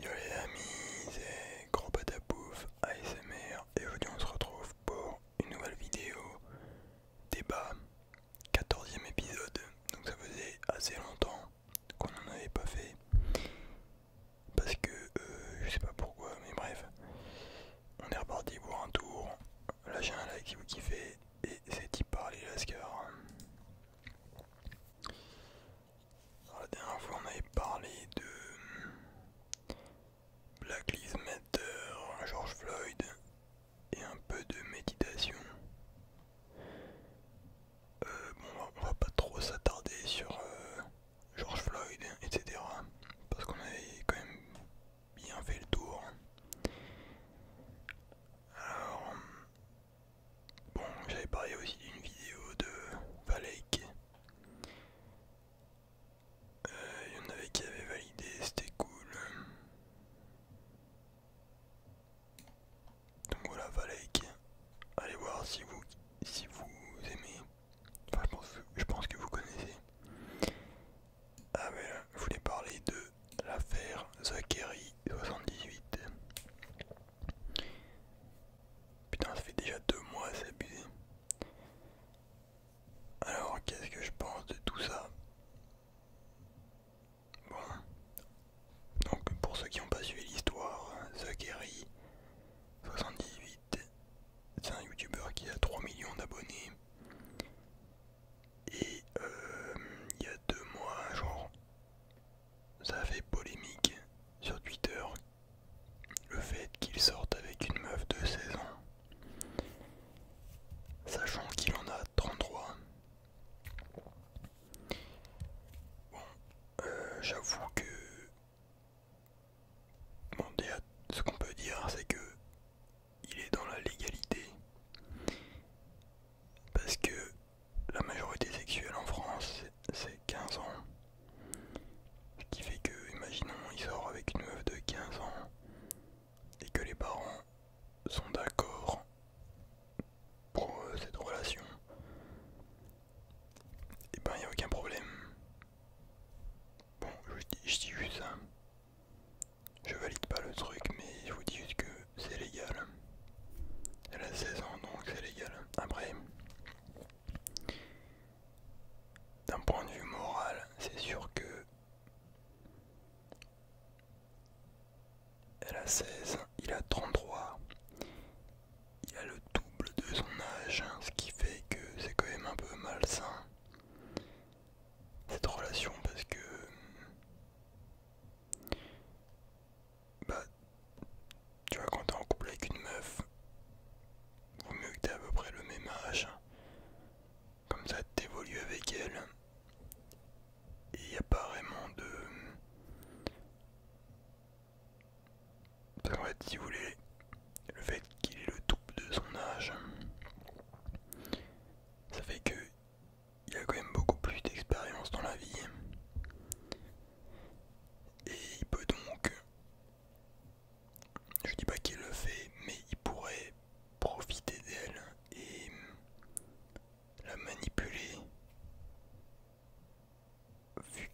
Yo les amis, c'est Gros Patapouf, ASMR et aujourd'hui on se retrouve pour une nouvelle vidéo débat, 14 ème épisode, donc ça faisait assez longtemps qu'on n'en avait pas fait parce que euh, je sais pas pourquoi mais bref on est reparti pour un tour, lâchez un like si vous kiffez et c'est y par Lascar la dernière fois, on avait parlé de Black Lives Matter, George Floyd et un peu de méditation. Euh, bon, on va pas trop s'attarder sur euh, George Floyd, etc. Parce qu'on avait quand même bien fait le tour. Alors, Bon, j'avais parlé aussi d'une vidéo de Valek. Euh, il y en avait qui avaient validé, c'était cool. Donc voilà, Valek. Allez voir si vous, si vous aimez. Enfin, je pense, que vous connaissez. Ah, ben je voulais parler de l'affaire Zachary 78. Putain, ça fait déjà deux mois, c'est abusé. Alors, qu'est-ce que je pense de tout ça Bon. Donc, pour ceux qui n'ont pas suivi l'histoire, Zachary, 78, c'est un youtubeur qui a 3 millions d'abonnés. Et euh, il y a deux mois, genre, ça fait polémique sur Twitter le fait qu'il sorte avec une meuf de 16 ans, sachant qu'il en a 33. Bon, euh, j'avoue que. Bon, déjà, ce qu'on peut dire, c'est que. Il est dans la légalité. Parce que la majorité sexuelle en France, c'est 15 ans. Ce qui fait que, imaginons, il sort avec une meuf de 15 ans et que les parents sont d'accord pour euh, cette relation. Et eh ben, il n'y a aucun problème. Bon, je dis, dis juste ça. Je valide pas le truc, mais je vous dis juste que c'est légal. Elle a 16 ans donc c'est légal. Après, d'un point de vue moral, c'est sûr que elle a 16, il a 33. Il a le double de son âge, hein, ce qui fait que c'est quand même un peu malsain cette relation parce que bah, tu vois, quand t'es en couple avec une meuf, vaut mieux que t'aies à peu près le même âge. Comme ça, t'évolues avec elle. Et il a pas vraiment de. En va fait, si vous voulez, le fait qu'il est le double de son âge, ça fait que il a quand même beaucoup plus d'expérience dans la vie. Et il peut donc, je dis pas qu'il le fait, mais il pourrait profiter d'elle et la manipuler vu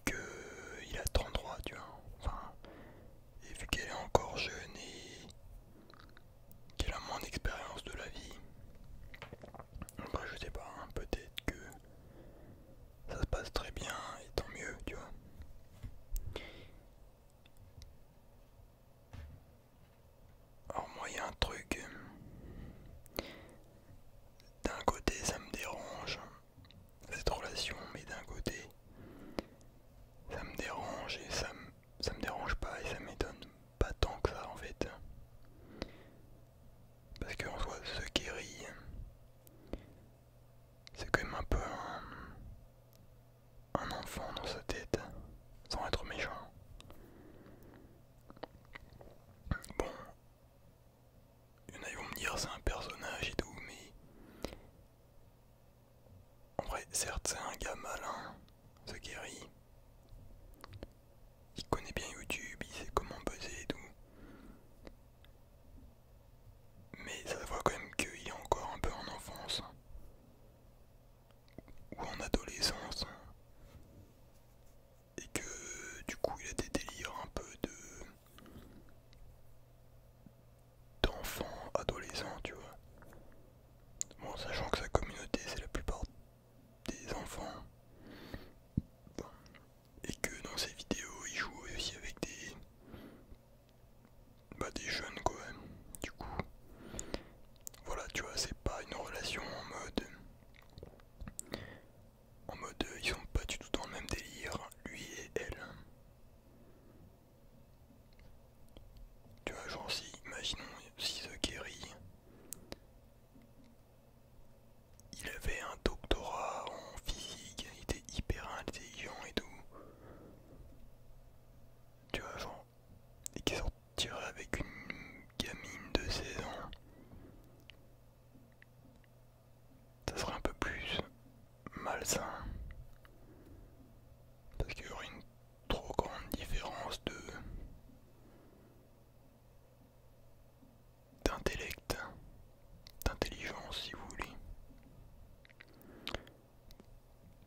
il a 33, tu vois. Enfin, et vu qu'elle est encore jeune et qu'elle a moins d'expérience de la vie. Bah, je sais pas, hein, peut-être que ça se passe très bien et tant mieux, tu vois. Alors moi il y a un truc, d'un côté ça me dérange, cette relation, mais d'un côté ça me dérange et ça me, ça me dérange pas et ça m'étonne pas tant que ça en fait. Parce que en soi, ce Kerry, c'est quand même un peu un, enfant dans sa tête, sans être méchant. Bon, il y en a qui vont me dire c'est un personnage et tout, mais en vrai, certes, c'est un gars malin, ce Kerry il connaît bien YouTube, il sait comment buzzer et tout. Mais ça voit quand même qu'il est encore un peu en enfance ou en adolescence et que du coup il a des délires un peu de d'enfant adolescent tu vois bon sachant que sa communauté c'est la plupart des enfants et que dans ces vidéos il joue aussi avec des bah des jeunes quand même du coup voilà tu vois c'est pas une relation en mode en mode ils sont pas du tout dans le même délire lui et elle tu vois genre si imaginons si The Kerry il avait un doctorat en physique, il était hyper intelligent et tout. Tu vois, et qui sortirait avec une gamine de 16 ans. Ça serait un peu plus malsain. Parce qu'il y aurait une trop grande différence de d'intellect, d'intelligence si vous voulez.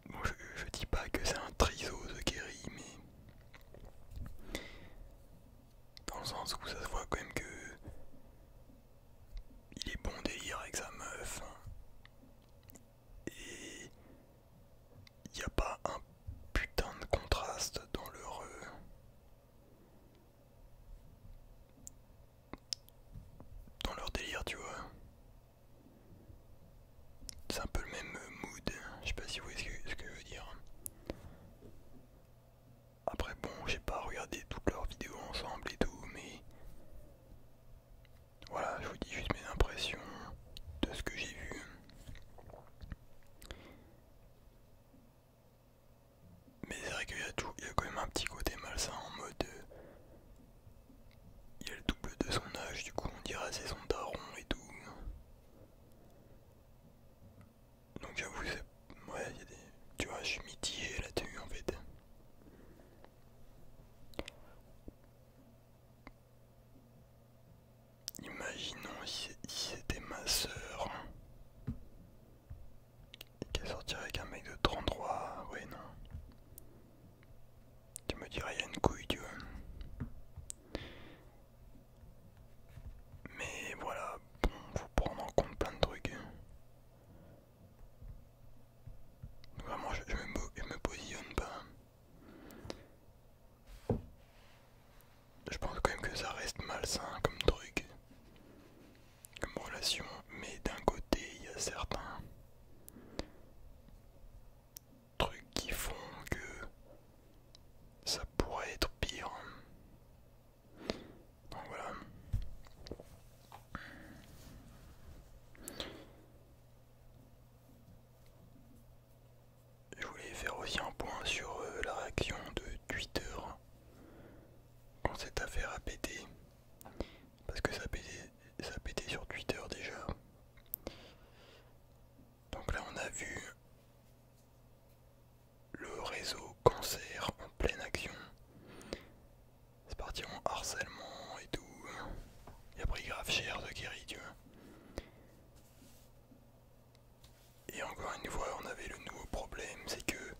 Bon, je, dis pas que c'est un de guéris, mais dans le sens où ça se voit quand même que il est bon délire avec sa meuf et il n'y a pas un putain de contraste dans l'heureux dans leur délire, tu vois. C'est un peu le même mood, je sais pas si vous voyez ce que je veux dire. Après bon, j'ai pas regardé toutes leurs vidéos ensemble et tout, mais voilà, je vous dis juste mes impressions de ce que j'ai vu. Mais c'est vrai qu'il y, a tout, il y a quand même un petit côté malsain en mode. Euh, il y a le double de son âge, du coup on dirait c'est son daron et tout. Donc j'avoue, ouais, Tu vois, je suis mitigé là-dessus en fait. Imaginons si c'était ma soeur hein. et qu'elle sortirait avec un mec de 33, ouais non. Tu me dirais, il y a une couille, tu Mais voilà, bon, faut prendre en compte plein de trucs. Vraiment, je, me, je me positionne pas. Je pense quand même que ça reste malsain comme truc, comme relation, mais d'un côté il y a certains trucs qui font que ça pourrait être pire. voilà. Je voulais faire aussi un point sur euh, la réaction de Twitter quand cette affaire a pété. Parce que ça a pété, sur Twitter déjà. Donc là on a vu le réseau cancer en pleine action. C'est parti en harcèlement et tout. Il a pris grave cher de guérir Dieu. Et encore une fois, on avait le nouveau problème, c'est que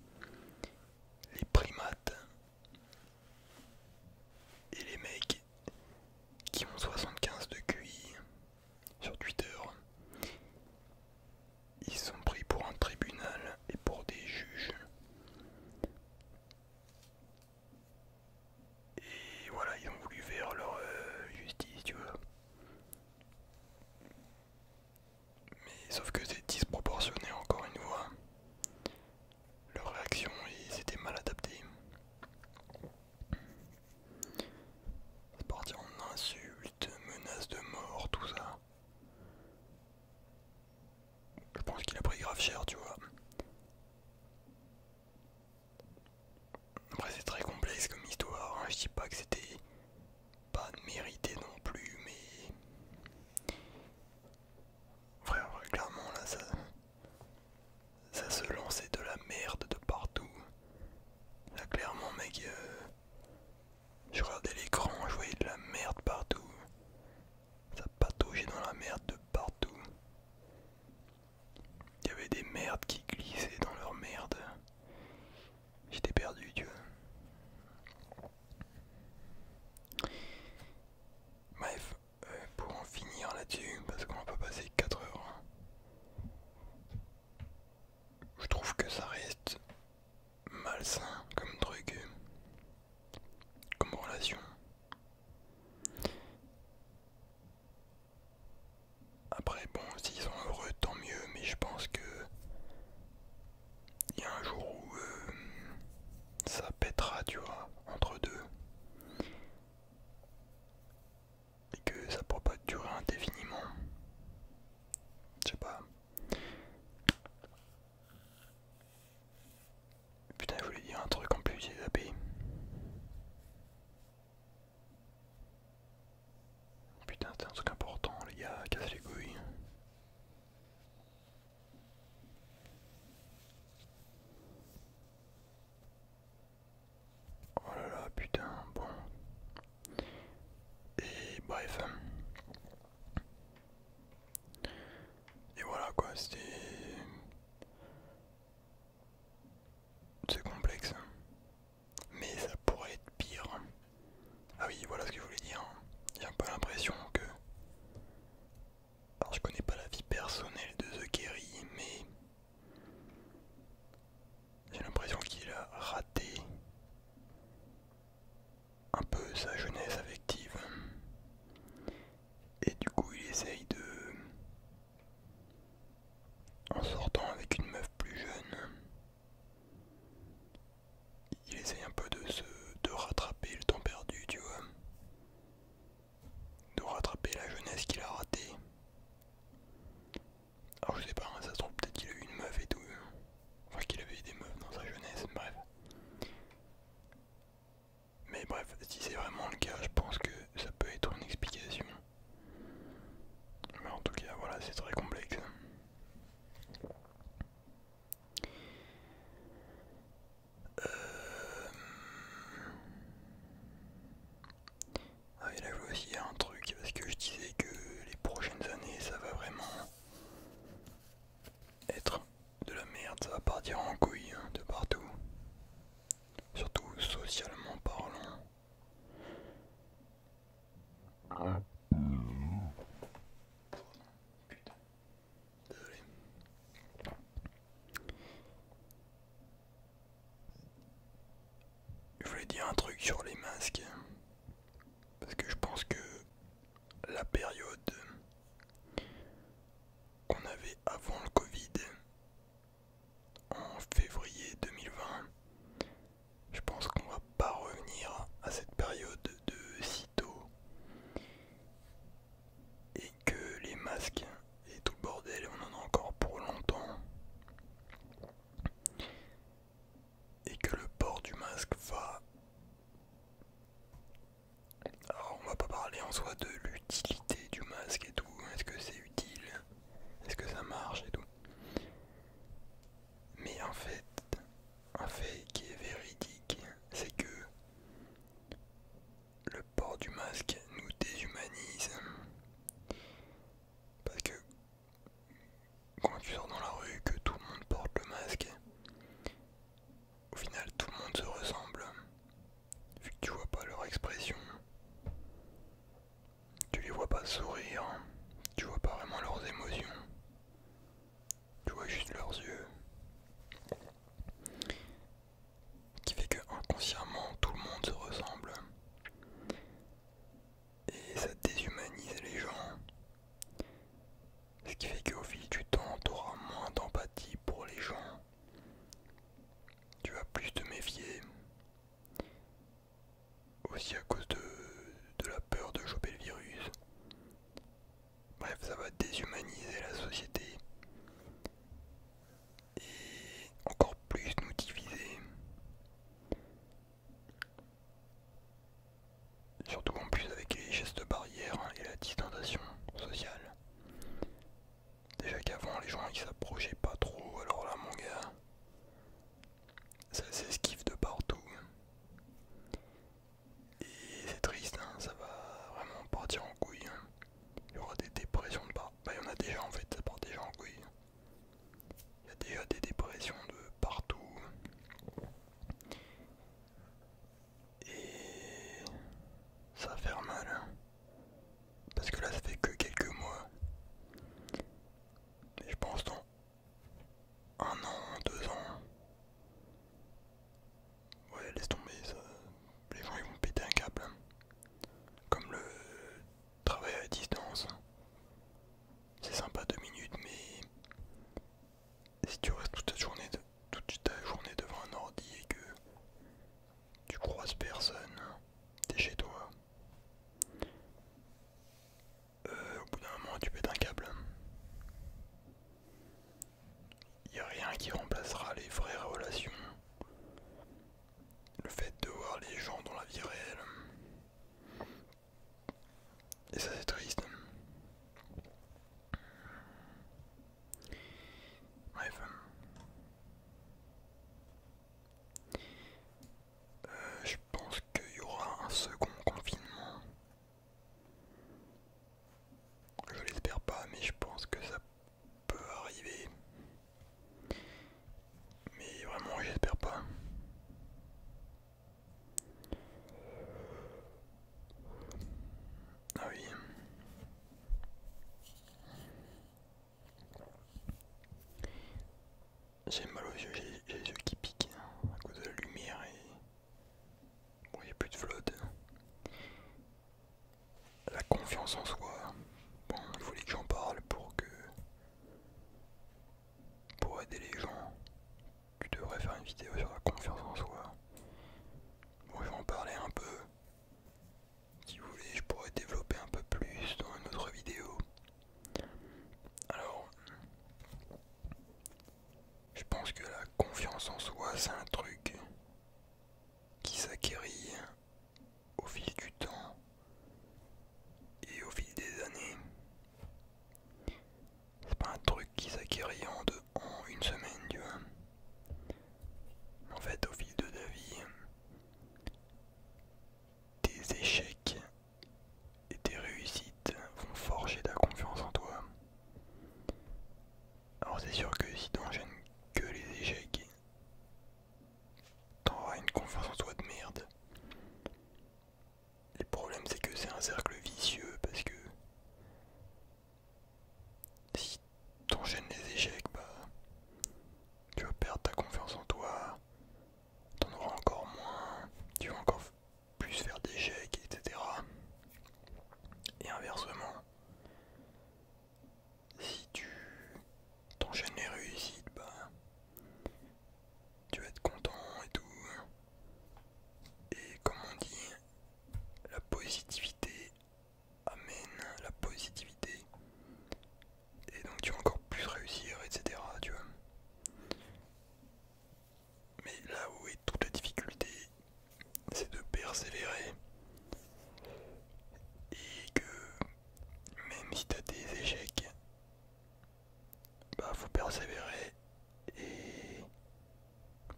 les primates et les mecs qui ont 75 de QI sur Twitter, ils sont pris pour un tribunal et pour des juges. Et voilà, ils ont voulu faire leur euh, justice, tu vois. Mais sauf que c'est disproportionné encore une fois. Leur réaction, ils étaient mal adaptés. C'est parti en insultes, menaces de mort, tout ça. Je pense qu'il a pris grave cher, tu vois. Après c'est très complexe comme histoire, hein. je dis pas que c'était pas mérité non plus, mais... Frère, clairement là ça... Ça se lançait de la merde de partout. Là clairement mec... Euh, je regardais l'écran, je voyais de la merde partout. Ça pataugeait dans la merde de partout. Il y avait des merdes qui glissaient dans leur merde. J'étais perdu, tu vois. Bref, euh, pour en finir là-dessus, parce qu'on va pas passer 4 heures, hein. je trouve que ça reste malsain comme truc, comme relation. Après, bon, s'ils sont heureux, tant mieux, mais je pense que. Il y a un jour où euh, ça pètera, tu vois, entre deux. Et que ça pourra pas durer indéfiniment. Je sais pas. Putain, je voulais dire un truc en plus, j'ai zappé. Putain, c'est un truc important, les gars, casse les couilles. Oh là là, putain, bon. Et bref. Et voilà quoi, c'était... C'est complexe mais ça pourrait être pire. Ah oui, voilà ce que je voulais dire. J'ai un peu l'impression que. Alors, je connais pas la vie personnelle de The Kerry, mais. J'ai l'impression qu'il a raté un peu sa jeunesse affective. Et du coup, il essaye de en sortant avec une meuf plus jeune. Il essaye un peu de se de rattraper le temps perdu, tu vois. De rattraper la jeunesse qu'il a ratée. Alors je sais pas, hein, ça se trouve peut-être qu'il a eu une meuf et tout. Enfin qu'il avait eu des meufs dans sa jeunesse, bref. Mais bref, si c'est vraiment le cas, je pense que ça peut être une explication. Mais en tout cas, voilà, c'est très complexe. Euh, ah et là je aussi un truc parce que je disais que les prochaines années ça va vraiment être de la merde, ça va partir en couille hein, de partout. Surtout socialement parlant. Je voulais dire un truc sur les masques. Parce que je pense que la période qu'on avait avant le Covid en février 2020. Je pense qu'on va pas revenir à cette période de si et que les masques et tout le bordel, on en a encore pour longtemps. Et que le port du masque va... Alors on va pas parler en soi de l'utilité du masque et tout, est-ce que c'est utile, est-ce que ça marche et tout. Mais en fait, un fait qui est véridique, c'est que le port du masque nous déshumanise. Parce que quand tu sors dans la rue, que tout le monde porte le masque, au final tout le monde se ressemble. Vu que tu vois pas leur expression. Tu les vois pas sourire, hein. tu vois pas vraiment leurs émotions, tu vois juste leurs yeux. Ce Qui fait que inconsciemment tout le monde se ressemble. Et ça déshumanise les gens. Ce qui fait qu'au fil du temps, tu auras moins d'empathie pour les gens. Tu vas plus te méfier aussi à cause de, de la peur de choper le virus. Bref, ça va déshumaniser la société et encore plus nous diviser. Surtout en plus avec les gestes barrières hein, et la distanciation sociale. Déjà qu'avant les gens ils s'approchaient pas trop, alors là mon gars, ça s'esquive de partout. Et c'est triste, hein, ça va vraiment partir en couille. Hein. Il y aura des dépressions de partout. Bah il y en a déjà en fait, ça part déjà en couille. Il y a déjà des dépressions de partout. Et ça va faire mal. Hein. Parce que là, ça fait que quelques mois. Et je pense dans un an, deux ans. Ouais, laisse tomber, ça. les gens ils vont péter un câble. Comme le travail à distance. C'est sympa deux minutes, mais si tu restes toute ta journée, toute ta journée devant un ordi et que tu croises personne, t'es chez toi. Euh, au bout d'un moment, tu pètes un câble. Il n'y a rien qui remplacera les vraies relations. Le fait de voir les gens dans la vie réelle. Et ça c'est triste. Bref. Euh, je pense qu'il y aura un second confinement. Je l'espère pas, mais je pense que ça peut arriver. Mais vraiment, j'espère pas. Ah oui. J'ai mal aux yeux, j'ai les yeux qui piquent hein, à cause de la lumière et. Bon, il n'y a plus de flotte. La confiance en soi. Bon, il voulait que j'en parle pour que. Pour aider les gens, tu devrais faire une vidéo sur la confiance en soi. Bon, je vais en parler un peu. Si vous voulez, je pourrais développer un peu plus dans une autre vidéo. Alors, je pense que la confiance en soi, c'est un truc qui s'acquérit au fil du temps et au fil des années. C'est pas un truc qui s'acquérit en, en une semaine, tu vois. En fait, au fil de la vie, tes échecs et tes réussites vont forger ta confiance en toi. Alors c'est sûr que si t'enchaînes que les échecs, t'auras une confiance en toi de merde. Le problème c'est que c'est un cercle vicieux parce que si t'enchaînes les échecs, bah tu vas perdre ta confiance en toi, t'en auras encore moins, tu vas encore plus faire d'échecs, etc. Et inversement, si tu t'enchaînes les réussites, bah, tu vas être content et tout. Et comme on dit, la positivité amène la positivité et donc tu vas encore plus réussir, etc. Tu vois. Mais là où est toute la difficulté, c'est de persévérer et que même si tu as des échecs, bah faut persévérer et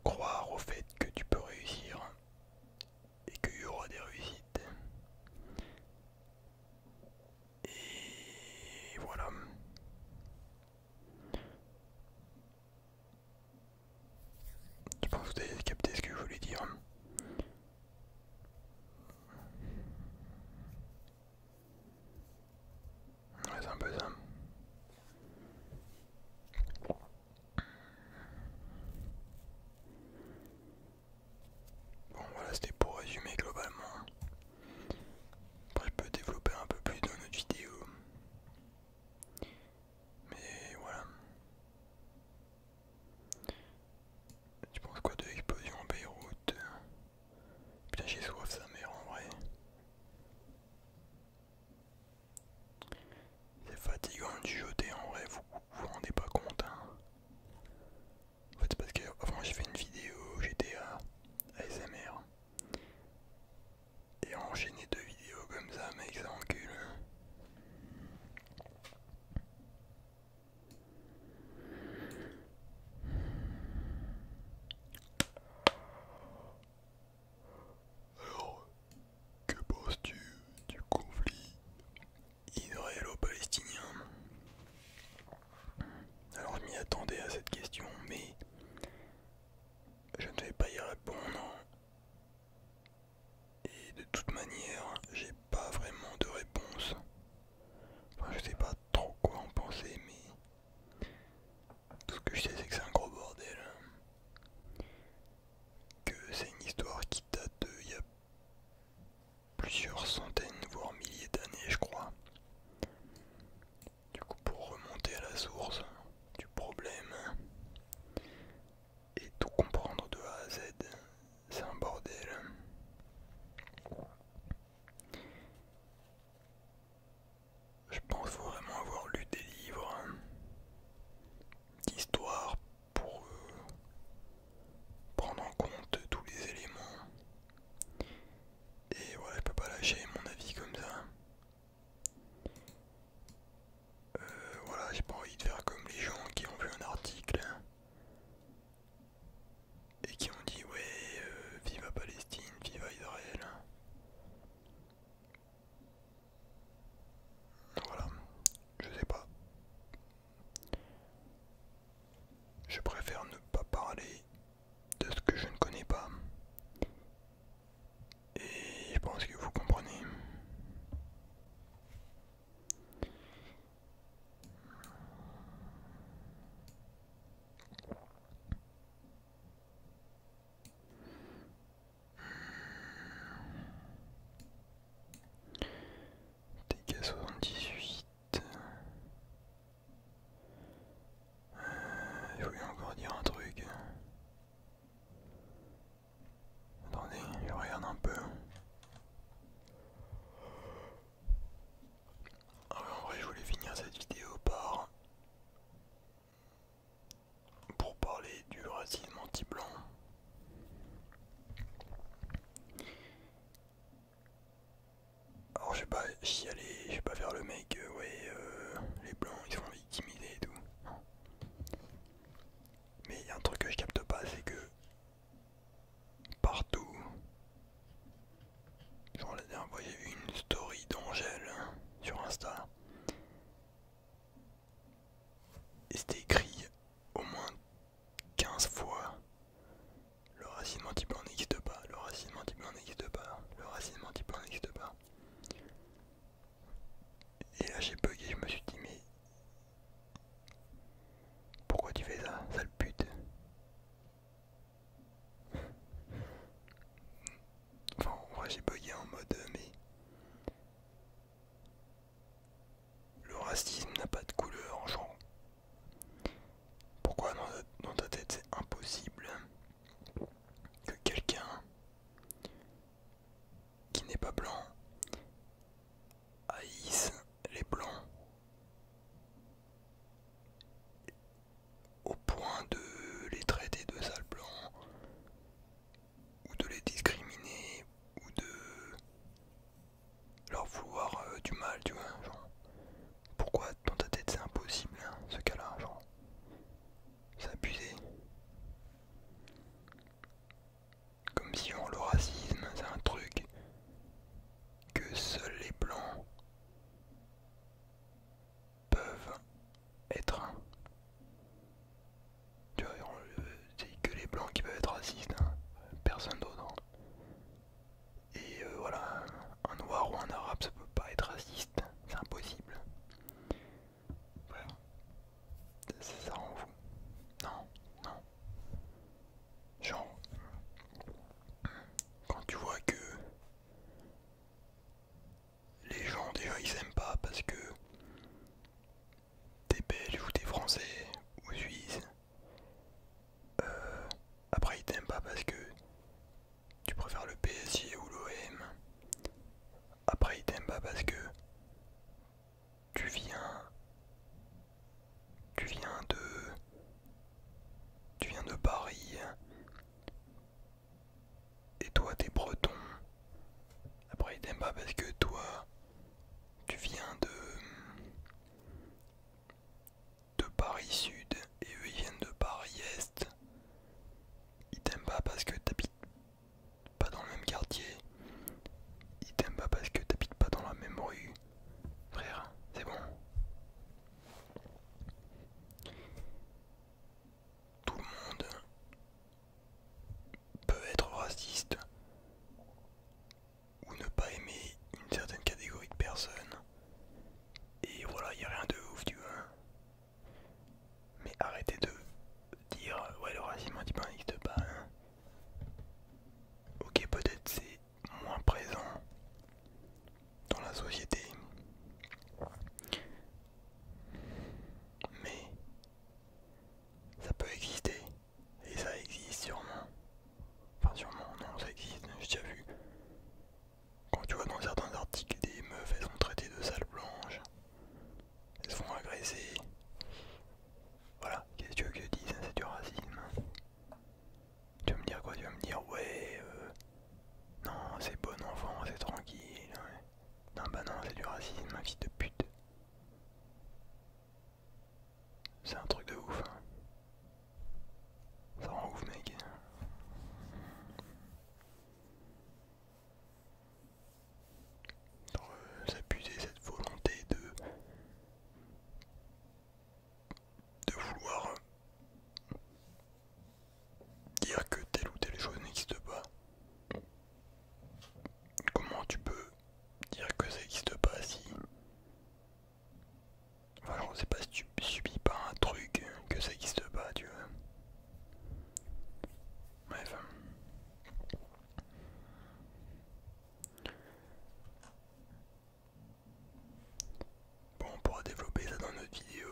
croire au fait que tu peux réussir et qu'il y aura des réussites. Et voilà. Je pense que vous avez capté ce que je voulais dire. c'est un peu ça. Bon voilà c'était pour résumer globalement. Après je peux développer un peu plus dans notre vidéo. Mais voilà. Tu penses quoi de l'explosion en Beyrouth Putain j'ai soif sa mère en vrai. C'est fatigant de jouer en vrai, vous vous rendez pas compte. Hein. En fait, c'est parce que avant j'ai fait une vidéo GTA ASMR et enchaîner deux vidéos comme ça, mec, ça encule. Alors, que penses-tu du conflit israélo-palestinien. Alors je m'y attendais à cette question, mais je ne vais pas y répondre. Et de toute manière, j'ai pas vraiment de réponse. je sais pas trop quoi en penser, mais tout ce que je sais, c'est que c'est un gros bordel. Que c'est une histoire qui date de il y plusieurs centaines voire milliers d'années je crois. Du coup pour remonter à la source du problème et tout comprendre de A à Z, c'est un bordel. Je pense vraiment avoir lu des livres d'histoire pour euh, prendre en compte tous les éléments. Et voilà, je peux pas lâcher mon avis comme ça. Euh, voilà, j'ai pas envie de faire comme les gens qui ont vu un article et qui ont dit ouais, viva euh, vive Palestine, vive Israël. Voilà, je sais pas. Je préfère ne pas parler de ce que je ne connais pas. Et je pense que vous comprenez tk 78. Euh, je voulais encore dire un truc. Attendez, je regarde un peu. Ah, en vrai, je voulais finir cette vidéo par. pour parler du racisme anti-blanc. Alors je vais pas aller, je vais pas faire le mec, euh, ouais, euh, les blancs ils sont victimiser et tout. Mais il y a un truc que je capte pas, c'est que partout, genre la dernière fois j'ai vu une story d'Angèle sur Insta, et c'était écrit au moins 15 fois le racine type en pas pas, le racine type en pas pas, le racine type en pas pas. Et là j'ai bugué, je me suis dit mais pourquoi tu fais ça, sale pute Enfin j'ai bugué en mode euh, mais le racisme n'a pas de couleur en genre. Pourquoi dans ta tête c'est impossible que quelqu'un qui n'est pas blanc haïsse les blancs au point de les traiter de sales blancs ou de les discriminer ou de leur vouloir euh, du mal, tu vois. Genre, pourquoi dans ta tête c'est impossible hein, ce cas-là, genre, s'abuser, Comme si on le racisme c'est un truc que seuls les blancs peuvent être hein. Tu vois, c'est que les blancs qui peuvent être racistes, hein. personne d'autre. Hein. Et euh, voilà, un noir ou un arabe, ça peut pas être raciste, c'est impossible. Voilà. ça rend fou. Non, non. Genre, quand tu vois que les gens déjà ils s'aiment pas parce que des Belges ou des Français ou Suisses. Euh, après, il t'aime pas parce que tu préfères le PSI ou l'OM. Après, il t'aime pas parce que tu viens, tu viens de, tu viens de Paris. Et toi, t'es breton. Après, il t'aime pas parce que toi, tu viens de, Paris Sud et eux ils viennent de Paris Est. Ils t'aiment pas parce que t'habites pas dans le même quartier. Ils t'aiment pas parce que t'habites pas dans la même rue. Frère, c'est bon. Tout le monde peut être raciste ou ne pas aimer une certaine catégorie de personnes. Et voilà, il n'y a rien de ouf, tu vois. Mais arrêtez de dire ouais, le racisme anti n'existe pas. Hein. Ok, peut-être c'est moins présent dans la société. Mais ça peut exister. Et ça existe sûrement. Enfin sûrement, non, ça existe, j'ai déjà vu. Quand tu vois dans certains articles des meufs, elles sont traitées de sales blanches. Elles se font agresser. Voilà, qu'est-ce que tu veux que je dise hein, C'est du racisme. Tu vas me dire quoi Tu vas me dire ouais, euh, non, c'est bon enfant, c'est tranquille. Non, bah non, c'est du racisme, ma de pute. C'est un truc de ouf. Hein. Ça rend ouf, mec. Euh, S'appuyer cette volonté de, de vouloir dire que telle ou telle chose n'existe pas. Comment tu peux dire que ça n'existe pas si. Enfin, on sait pas si tu subis pas un truc hein, que ça n'existe pas, tu vois. Bref. Bon, on pourra développer ça dans notre vidéo.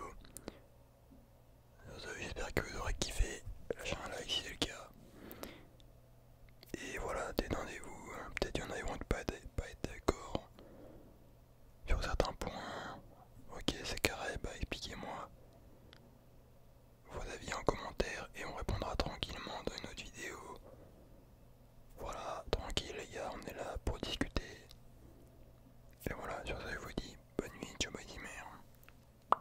J'espère que vous aurez kiffé. Lâchez un like si c'est le cas. Et voilà, détendez-vous. Hein. Peut-être qu'il y en a pas, être d'accord sur certains points. Ok, c'est carré, bah expliquez-moi vos avis en commentaire et on répondra tranquillement dans une autre vidéo. Voilà, tranquille les gars, on est là pour discuter. Et voilà, sur ça je vous dis bonne nuit, ciao bye mère.